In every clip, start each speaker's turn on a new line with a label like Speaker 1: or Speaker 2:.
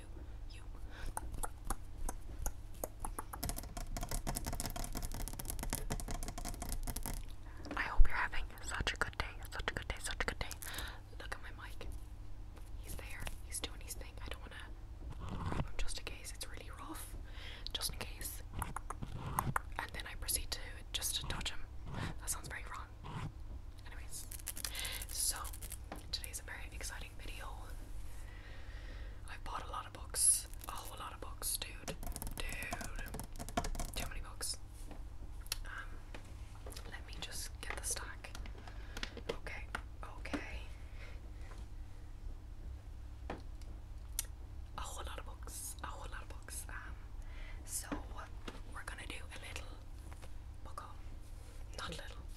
Speaker 1: you, I hope you're having such a good day, such a good day, such a good day. Look at my mic. He's there. He's doing his thing. I don't wanna rub him just in case. It's really rough. Just in case. And then I proceed to just to touch him. That sounds very wrong. Anyways, so today's a very exciting video. I bought a lot of books. A whole lot of books, dude. Dude. Too many books. Um, let me just get the stack. Okay, okay. A whole lot of books. A whole lot of books. Um, so we're gonna do a little book haul. Not little,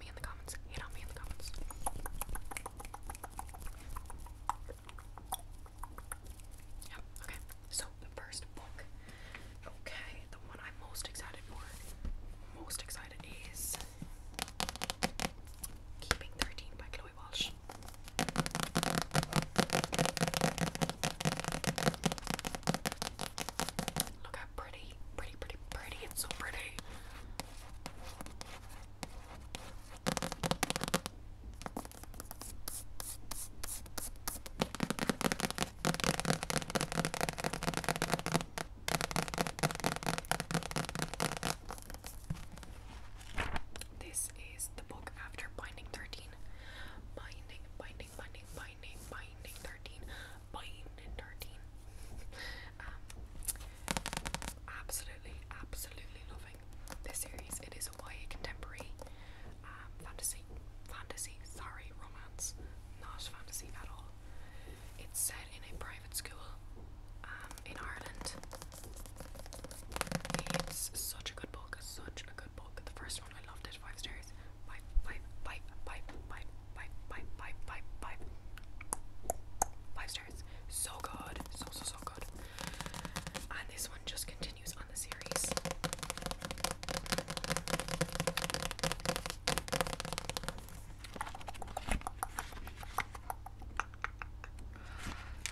Speaker 1: on me in the comments. Hate on me in the comments. Yep, okay. So the first book. Okay, the one I'm most excited for. Most excited is Keeping 13 by Chloe Walsh. Look how pretty, pretty, pretty, pretty. It's so pretty. This is the book after Binding 13. Binding, binding, binding, binding, binding 13. Binding 13. Um, Absolutely, absolutely loving this series. It is a YA contemporary um, fantasy, fantasy, sorry, romance, not fantasy at all. It's set in a private school um, in Ireland. It's such a good book, such a good book. The first one I loved it, five stars, five, five, five, five, five, five, five. Five stars. So good, so so so good. And this one just continues on the series.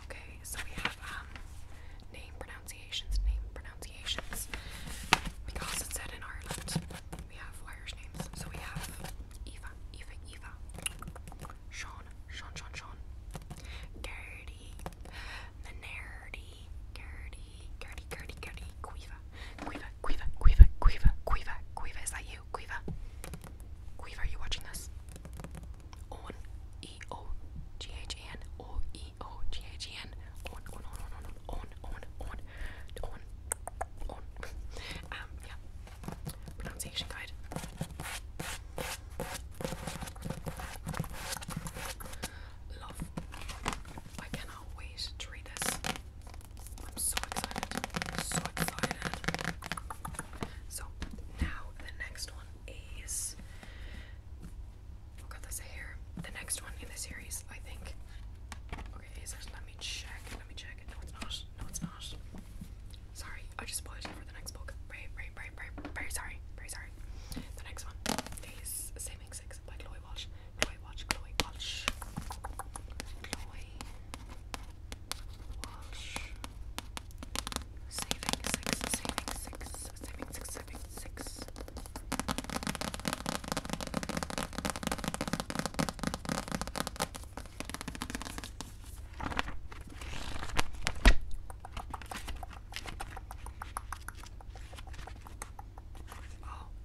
Speaker 1: Okay, so we have um name pronunciations, name pronunciations, because it's set in Ireland we have wires names. So we have Eva, Eva, Eva, Sean, Sean, Sean, Sean, Gertie, Minerdy, Gertie, Gertie, Gertie, Gertie, Quiva, Quiva, Quiva, Quiva, Quiva, Quiva, Quiva, is that you? Quiva, Quiva, are you watching this? On, E, O, G, H, N, O, E, O, G, H, N, on, on, on, on, on, on, on, on, um, pronunciation guide. Love. I cannot wait to read this. I'm so excited. So excited. So now the next one is oh god, that's a The next one in the series, I think. Let me check. Let me check. No, it's not. No, it's not. Sorry, I just spoiled you for the next book. Very, very, very, very, very sorry. Very sorry. The next one is Saving Six by Chloe Walsh. Chloe Walsh. Chloe Walsh. Saving Six. Saving Six. Saving Six. Saving Six. Oh,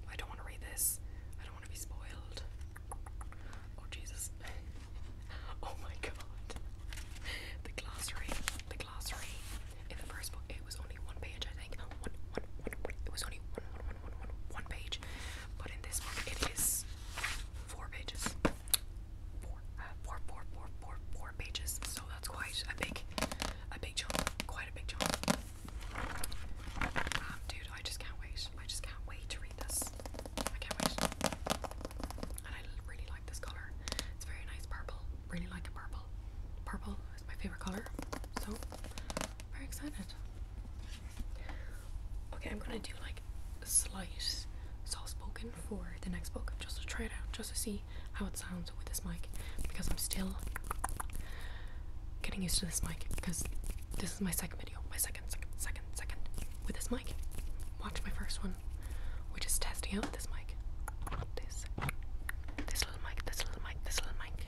Speaker 1: I don't want to read this. I don't want to be spoiled. Oh, Jesus. oh my god. The glossary. The glossary. In the first book, it was only one page, I think. One, one, one, one. It was only one, one, one, one, one, one page. But in this book, it is four pages. four, four, four, four, four pages. So that's quite a big, a big chunk. Quite a big chunk. dude, I just can't wait. I just can't wait to read this. I can't wait. And I really like this color. It's very nice purple. Really like purple. Purple is my favorite color. So very excited. Okay, I'm gonna do like a slight soft spoken for the next book just to try it out, just to see how it sounds with this mic because I'm still getting used to this mic because this is my second video, my second, second, second, second with this mic. Watch my first one, We're just testing out this mic. This, this little mic, this little mic, this little mic.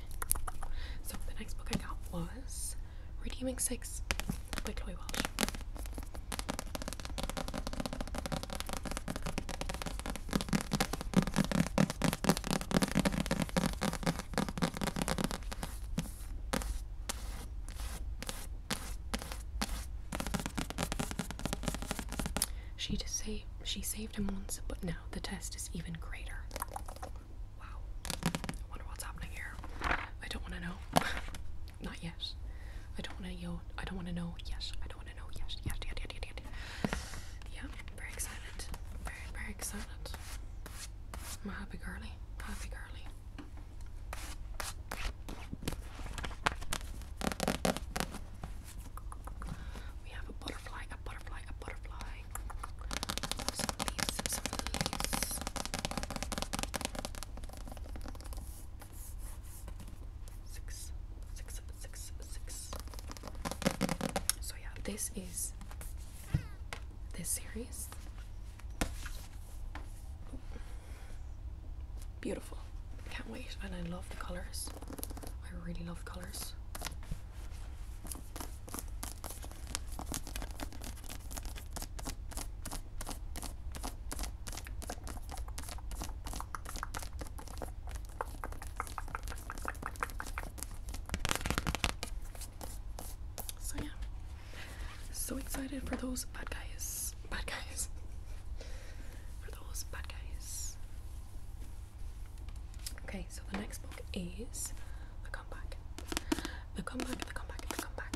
Speaker 1: So the next book I got was Redeeming Six by Chloe Welsh. She, to she saved him once, but now the test is even greater. Wow. I wonder what's happening here. I don't want to know. Not yes. I don't want to yo. I don't want to know. Yes. I don't want to know. Yes. Yes. Yes. Yes. Yes. yes. Yeah. Very excited. Very very excited. I'm a happy girly. Happy girly. We have a butterfly. A butterfly. A so yeah, this is this series. Beautiful. Can't wait, and I love the colors. I really love colors. So yeah, so excited for those bad guys, bad guys, for those bad guys. Okay, so the next book is comeback. The comeback, the comeback, the comeback.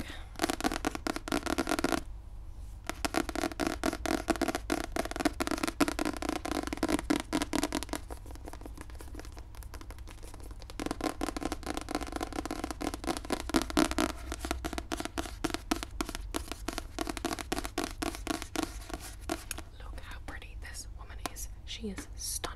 Speaker 1: Look how pretty this woman is. She is stunning.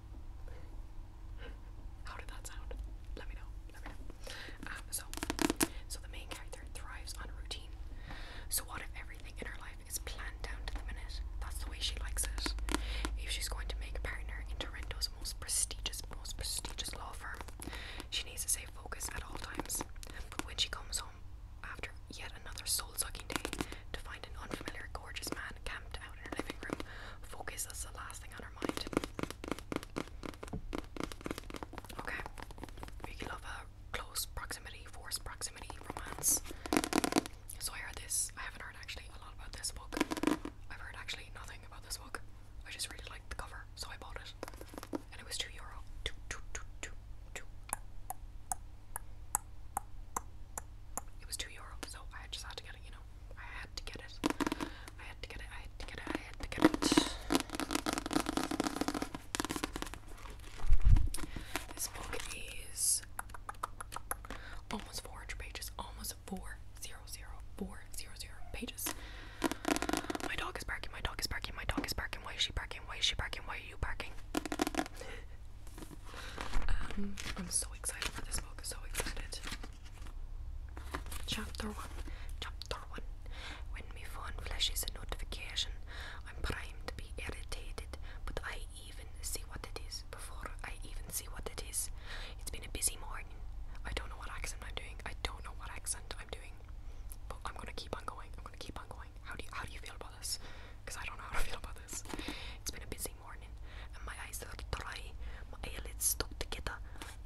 Speaker 1: How did that sound? Let me know. Um, so, so the main character thrives on routine. So what if everything in her life is planned down to the minute? That's the way she likes it. If she's going to make a partner in Toronto's most prestigious, most prestigious law firm, she needs to stay focused at all times. But when she comes home after yet another soul-sucking day to find an unfamiliar, gorgeous man camped out in her living room, focus is the last thing on her. Okay. We love a close proximity, forced proximity romance. So I heard this. I haven't heard actually a lot about this book. I've heard actually nothing about this book. I just really liked the cover, so I bought it. And it was two euro. Two, two, It was two euro, so I just had to get it, you know. I had to get it. I had to get it. I had to get it. I had to get it. This book is almost 400 pages. Almost four zero zero four zero zero pages. My dog is barking. My dog is barking. My dog is barking. Why is she barking? Why is she barking? Why are you barking? um, I'm so excited for this book. So excited. Chapter 1 Chapter 1 When my phone flashes a notification, I'm primed to be irritated, but I even see what it is before I even see what it is. It's been a busy morning. I don't know what accent I'm doing. I don't know what accent I'm doing. But I'm gonna keep on going. I'm gonna keep on going. How do you how do you feel about this? Because I don't know how to feel about this. It's been a busy morning, and my eyes are dry, my eyelids stuck together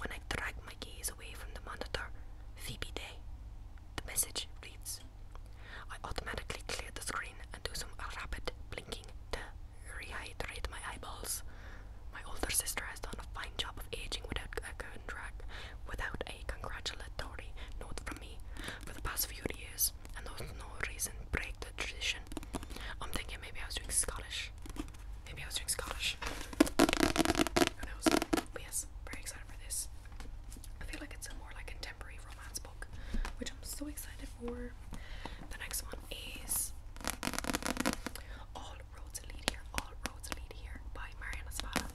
Speaker 1: when I drag my gaze away from the monitor. Phoebe Day. The message reads I automatically clear the screen and do some rapid blinking to rehydrate my eyeballs. My older sister has done a fine job of aging without a contract, without a congratulatory note from me for the past few years, and there's no reason to break the tradition. I'm thinking maybe I was doing Scottish. Maybe I was doing Scottish. Who knows? But yes, very excited for this. I feel like it's more like contemporary romance book, which I'm so excited for. The next one is All Roads Lead Here, All Roads Lead Here by Mariana Spada.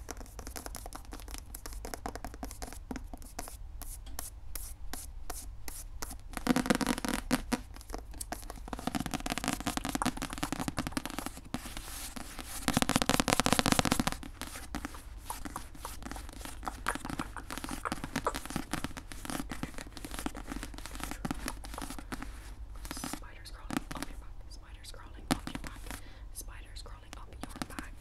Speaker 1: Spiders crawling up your back. Spiders spiders crawling up your back. Spiders crawling up your back.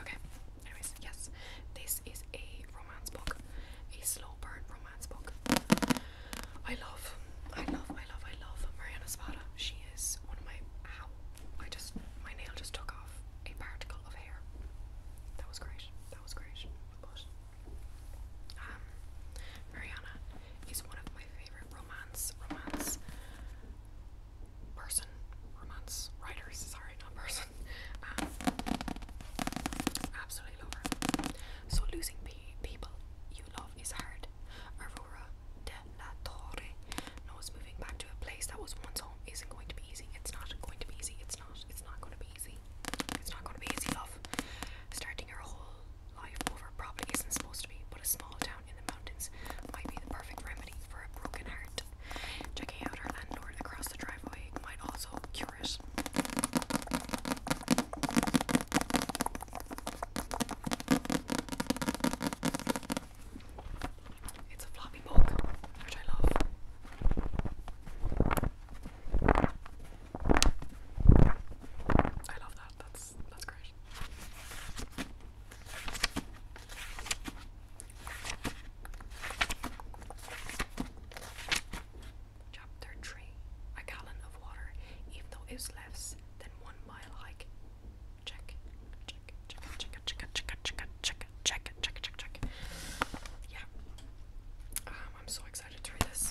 Speaker 1: Okay, anyways, yes, this is a romance book, a slow burn romance book. I love, I love, I love, I love Mariana Spada. She is one of my. Ow! I just, my nail just took off a particle of hair. That was great. That was great. Um, Mariana is one of my favorite romance, romance person, romance writers, sorry, not person. Um, absolutely love her. So losing pe people you love is hard. Aurora de la Torre knows moving back to a place that was once home isn't going to be easy. It's not going to be easy. It's not. It's not going to be easy. It's not going to be easy, love. Starting your whole Life over probably isn't supposed to be, but a small town in the mountains might be the perfect remedy for a broken heart. Checking out our landlord across the driveway might also cure it. It's a floppy book, which I love. I love that. That's that's great. Chapter three: A gallon of water, even though it less than one mile hike. Check, check, check, check, check, check, check, check, check, check, check, check. Yeah. Um, I'm so excited to read this.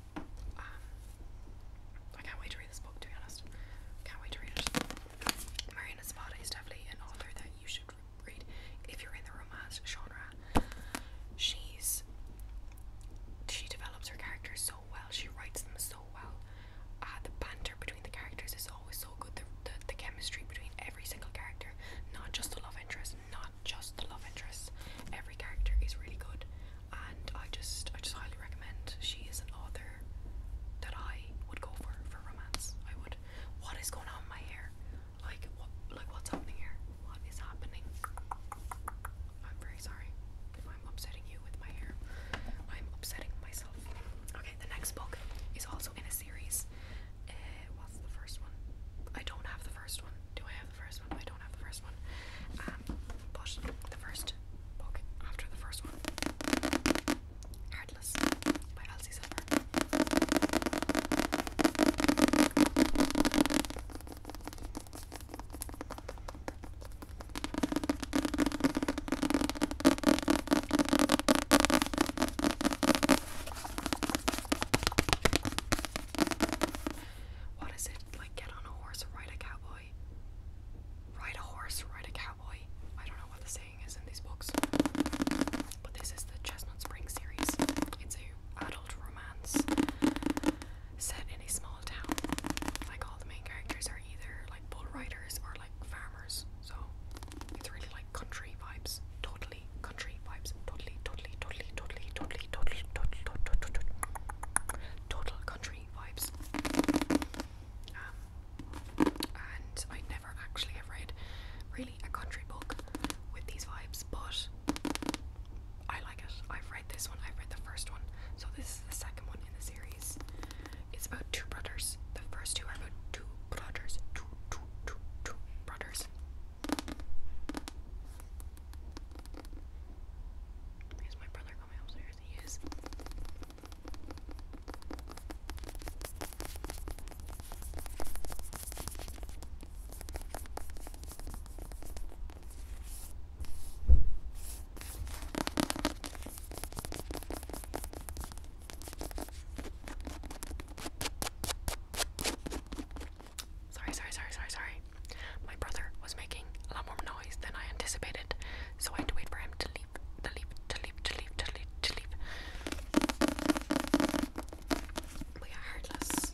Speaker 1: I can't wait to read this book, to be honest. Can't wait to read it. Mariana Zapata is definitely an author that you should read if you're in the romance genre. She's she develops her characters so well. She writes them so well. Uh, the banter between the characters is always so good. the the chemistry between every single character, not just the love interest not just the love interests. Every character is really good, and I just, I just highly recommend. She is an author that I would go for for romance. I would. What is going on in my hair? Like, what, like what's happening here? What is happening? I'm very sorry if I'm upsetting you with my hair. I'm upsetting myself. Okay, the next book is also in a series. Uh, what's the first one? I don't have the first one. Do I have the first one? I don't have the first one. Um, but the first book after the first one, Heartless by Elsie Silver what is it? Like get on a horse ride a cowboy? Ride a horse, ride a cowboy. I don't know what the saying is in these books. But this is the Chestnut Spring series. It's a adult romance set in a small town. Like all the main characters are either like bull riders or like farmers. So it's really like country vibes. Totally country vibes. Totally, totally totally, totally, totally, totally, totally, totally, totally, totally, total country vibes. Um, and I never actually have read really a country book with these vibes, but I like it. I've read this one. I've read the first one, so this is the second one in the series. It's about two brothers. The first two are about two brothers, two, two, two, two brothers. Is my brother coming upstairs? He is. Sorry, sorry, sorry, sorry, sorry. My brother was making a lot more noise than I anticipated, so I had to wait for him to leave, to leave, to leave, to leave, to leave, to leave. We are heartless.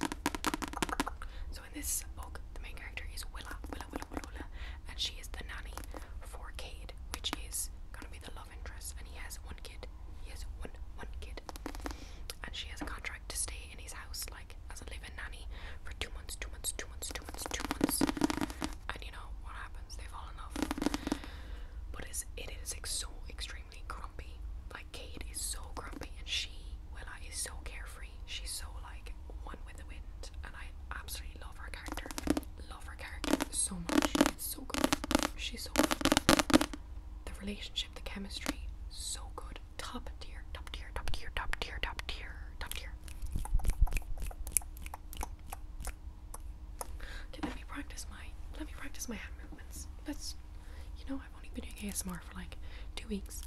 Speaker 1: So in this book, the main character is Willa, Willa, Willa, Willa, Willa, and she is the nanny for Cade, which is gonna be the love interest, and he has one kid. He has one, one kid died, and she has a contract to stay in his house, like as a live-in nanny, for two months, two months, two months, two months, two months. And you know what happens? They fall in love. But it's, it is like, so extremely grumpy. Like Kate is so grumpy, and she, Willa, is so carefree. She's so like one with the wind, and I absolutely love her character. Love her character so much. It's so good. She's so good. The relationship, the chemistry, so good top tier, top tier, top tier, top tier, top tier, top tier. Okay, let me practice my let me practice my hand movements. Let's you know I've only been doing ASMR for like two weeks.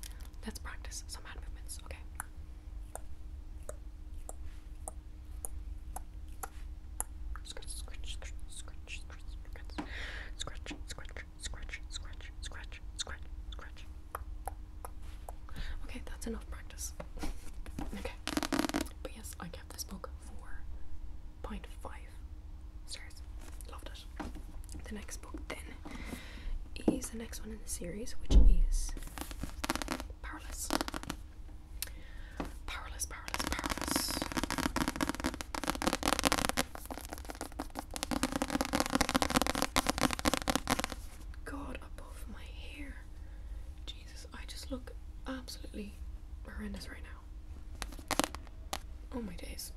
Speaker 1: Let's practice some hand movements, okay? Scratch, scratch, scratch, scratch, scratch, scratch, scratch, scratch, scratch, scratch, scratch, scratch, scratch, scratch. Okay, that's enough practice. okay. But yes, I kept this book for 0.5 stars. Loved it. The next book then is the next one in the series, which is Powerless. Powerless, powerless, powerless. God above my hair. Jesus, I just look absolutely horrendous right now. Oh my days.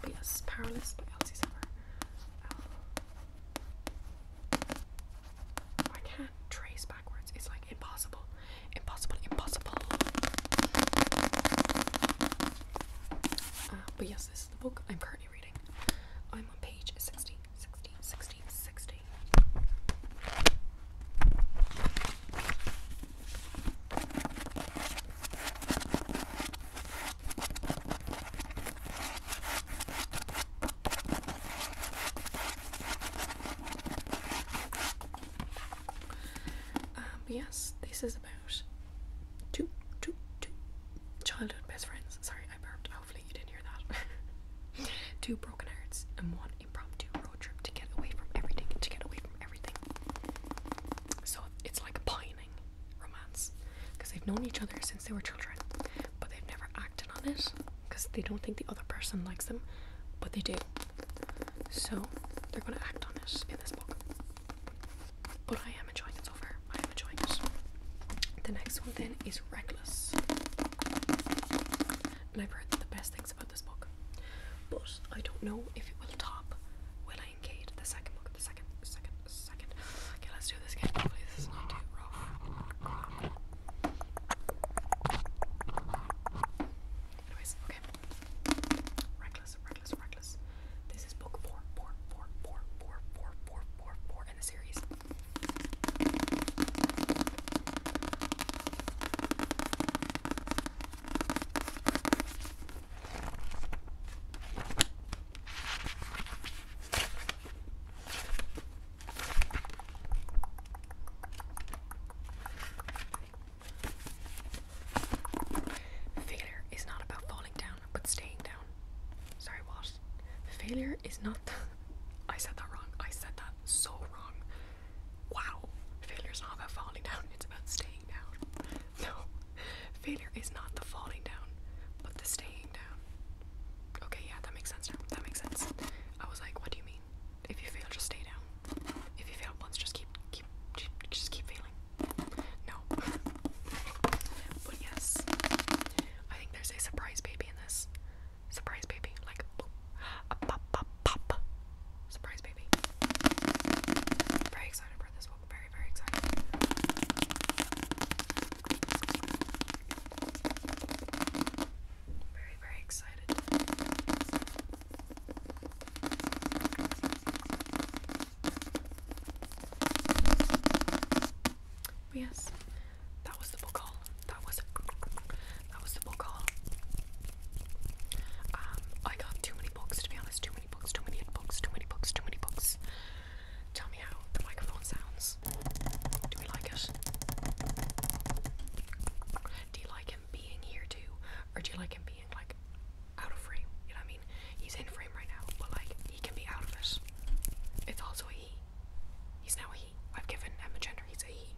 Speaker 1: but yes, Powerless by Elsie Summer. I can't trace backwards. It's like impossible. Impossible, impossible. Uh, but yes, this is the book I'm currently reading. I'm on page 60, um, yes, this is about two, two, two childhood best friends. Sorry, I burped. Hopefully, you didn't hear that. two broken hearts and one impromptu road trip to get away from everything. To get away from everything. So it's like a pining romance because they've known each other since they were children, but they've never acted on it because they don't think the other person likes them, but they do. So they're going to act on it in this book. But I am enjoying it so far. I am enjoying it. The next one then is Reckless. And I've heard the best things about this book. But I don't know if it will top Will I Engage, the second book, the second, the second second. Okay, let's do this again. Hopefully, this is not too rough. Anyways, okay. Reckless, reckless, reckless. This is book four, four, four, four, four, four, four, four, four in the series. Failure is not about falling down, but staying down. Sorry, what? Failure is not. I said that wrong. I said that so wrong. Wow. Failure is not about falling down, it's about staying down. No. Failure is not the falling down, but the staying Okay, yeah, that makes sense That makes sense. I was like, what do you mean? If you fail, just stay down. If you fail once, just keep, keep, just keep failing. No. but yes, I think there's a surprise baby in this. Surprise baby, like pop, pop, pop. Surprise baby. Very excited for this one. Very, very excited. Very, very excited. But oh, yes, that was the book haul. That was that was the book haul. Um, I got too many books to be honest. Too many books. Too many books. Too many books. Too many books. Tell me how the microphone sounds. Do we like it? Do you like him being here too? Or do you like him being like out of frame? You know what I mean? He's in frame right now, but like he can be out of it. It's also a he. He's now a he. I've given him a gender, he's a he.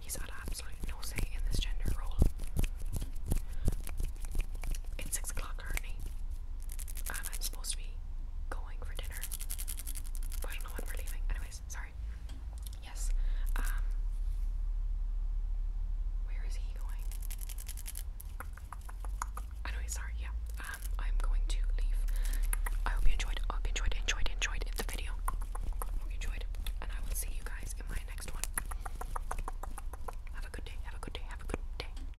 Speaker 1: He's had absolutely no say in this gender role. It's six o'clock currently. I'm supposed to be going for dinner. But I we're leaving. Anyways, sorry. Yes. Um where is he going? Anyway, sorry, yeah. Um I'm going to leave. I hope you enjoyed. I hope you enjoyed, enjoyed, enjoyed the video. enjoyed. And I will see you guys in my next one. Have a good day, have a good day, have a good day.